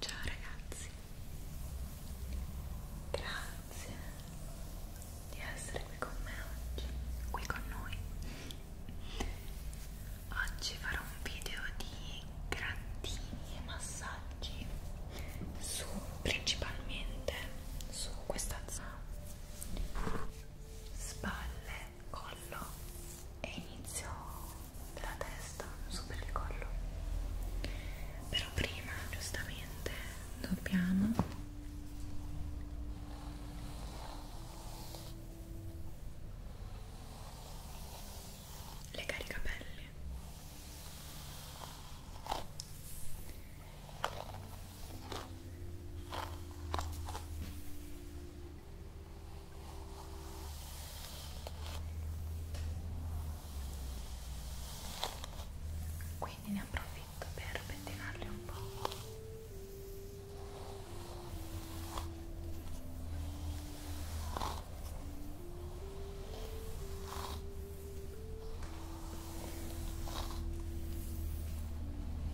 Ciao ragazzi, grazie di essere qui con me oggi, qui con noi. Oggi farò un video di grattini e massaggi su principalmente su questa zona spalle collo e inizio della testa, su per il collo. Però prima, giustamente, dobbiamo legare i capelli quindi ne approfitto per pettinarli un po'.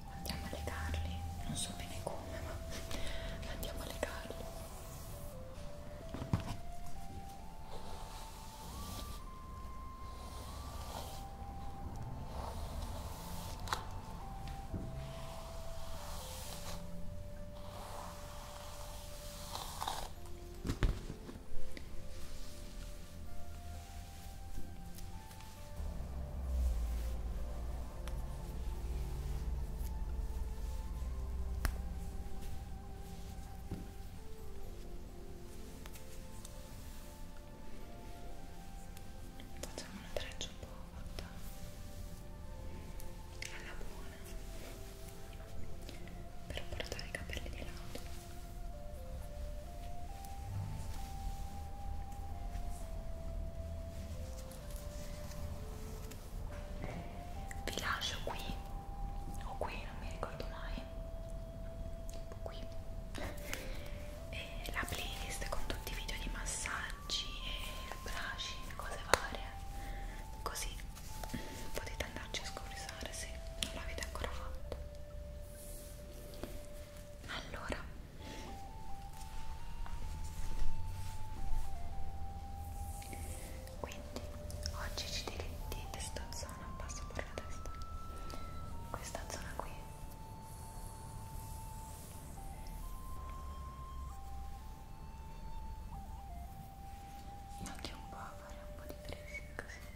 andiamo a legarli non so bene come ma andiamo a legarli Facciamo una treccia un po' fatta alla buona per portare i capelli di lato. Ecco vi lascio qui o qui non mi ricordo mai tipo qui e la playlist con tutti i video di massaggi e brushing cose varie così potete andarci a scuriosare se non l'avete ancora fatto allora quindi oggi ci diritti questa zona passo per la testa questa zona qui anche un po' a fare un po' di tracing così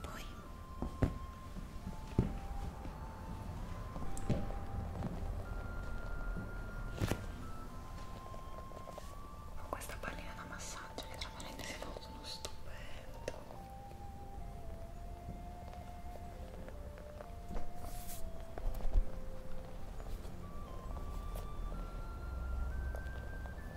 poi ho questa pallina da massaggio che tra parentesi sono stupendo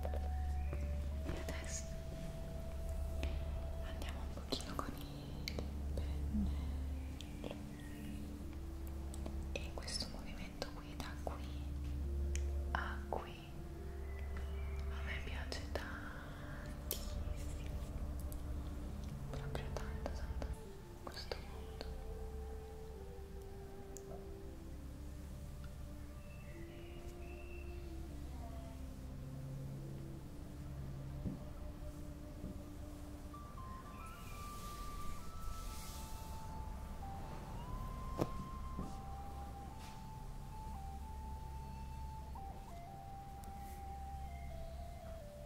e adesso andiamo un pochino con il pennello e questo movimento qui da qui a qui a me piace tantissimo proprio tanto tanto questo mondo mi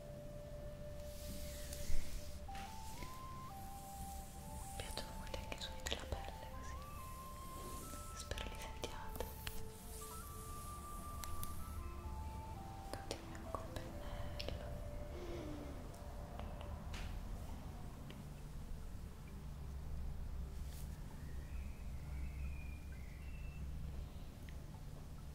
piacciono molto anche i suoni della pelle così. Spero li sentiate. Continuiamo col pennello. Ecco.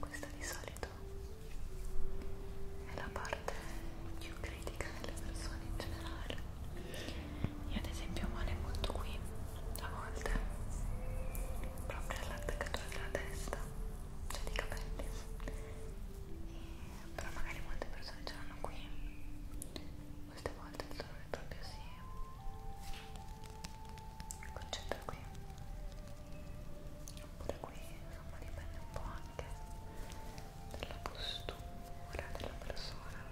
Questa di solito è la parte più critica delle persone in generale io ad esempio male molto qui, a volte, proprio all'attaccatura della testa, cioè dei capelli. E, però magari molte persone ce l'hanno qui. Queste volte il dolore proprio si concentra qui. Oppure qui, insomma, dipende un po' anche dalla postura della persona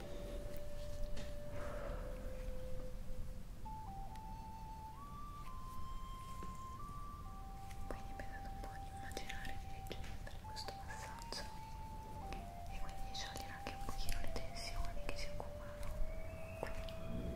Quindi mi è dato un po' di immaginare di leggere per questo passaggio e quindi sciogliere anche un pochino le tensioni che si accumulano qui. Io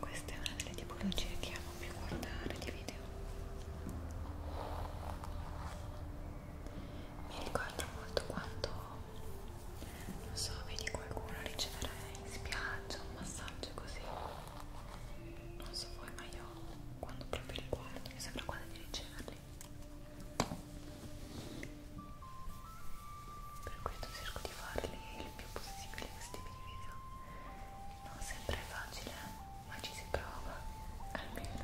Questa è una delle tipologie che amo più guardare di video. Mi ricordo molto quando, non so, vedi qualcuno ricevere in spiaggia un massaggio così non so voi ma io quando proprio li guardo mi sembra quasi di riceverli per questo cerco di farli il più possibile questi video non sempre è facile ma ci si prova almeno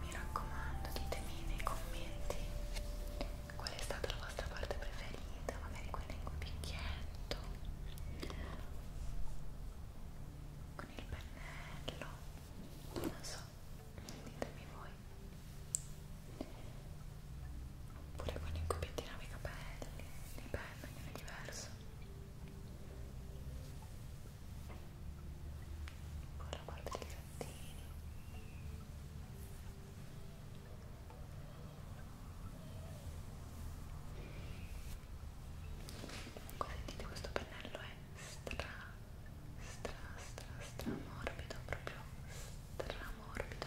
mi raccomando, ditemi nei commenti qual è stata la vostra parte preferita, magari quella in cubicchietto, con il pennello, non so, ditemi voi pure con i cubetti nei capelli, nei pennelli, è diverso con la parte dei gattini comunque sentite questo pennello è stra stra stra stra morbido proprio stra morbido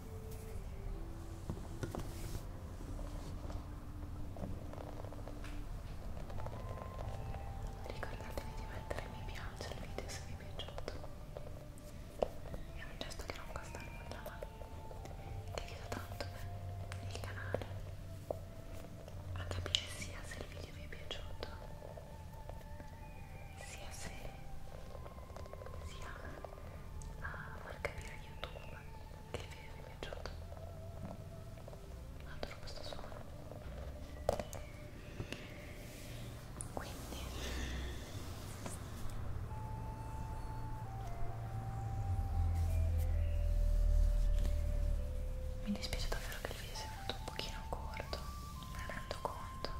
Ricordatevi di mettere mi piace al video se vi è piaciuto. È un gesto che non costa nulla, ma che aiuta tanto il canale a capire sia se il video vi è piaciuto, sia se sia a eh, far capire a YouTube che il video vi è piaciuto. Adoro questo suono. Quindi mi dispiace davvero che il video sia venuto un pochino corto, me ne rendo conto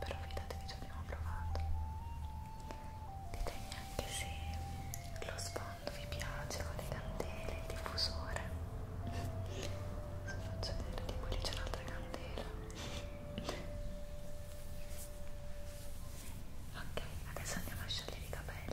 però fidatevi ci abbiamo provato ditemi anche se lo sfondo vi piace con le candele, il diffusore se faccio vedere tipo lì c'è un'altra candela ok adesso andiamo a sciogliere i capelli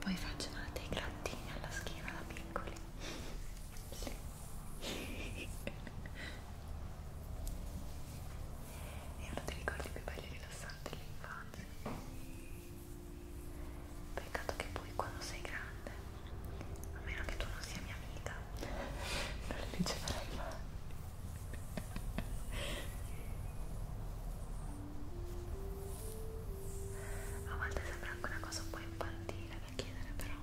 Poi facevano dei grattini alla schiena da piccoli. Sì. È uno dei ricordi più belli e rilassanti dell'infanzia. Peccato che poi quando sei grande, a meno che tu non sia mia amica, non le riceverai mai a volte sembra anche una cosa un po' infantile da chiedere però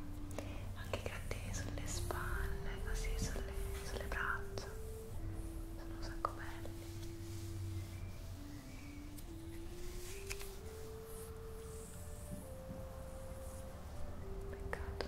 anche i grattini sulle spalle così sulle, sulle braccia sono un sacco belli peccato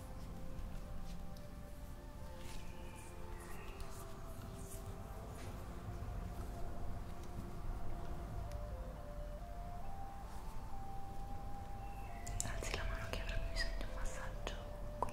Alzi la mano che avrà bisogno di un massaggio qui.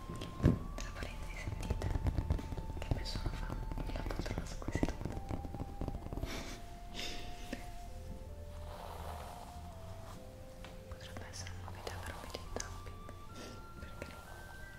Tra parentesi sentite che nessuno fa una poltrona su questi Potrebbe essere una video per un video in tapping, perché no? Allora,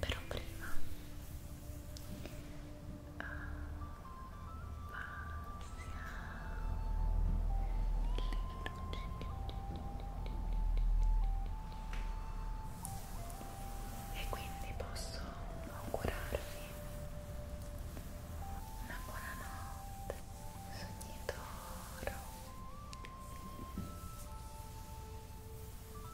Però prima e quindi posso augurarvi una buonanotte sogni d'oro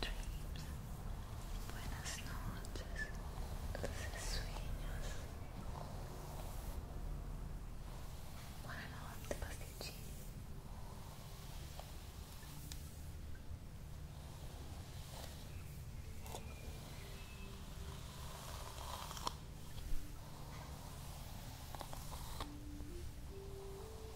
dreams. Buenas noches, dulces sueños. Buenas noches, pastichín.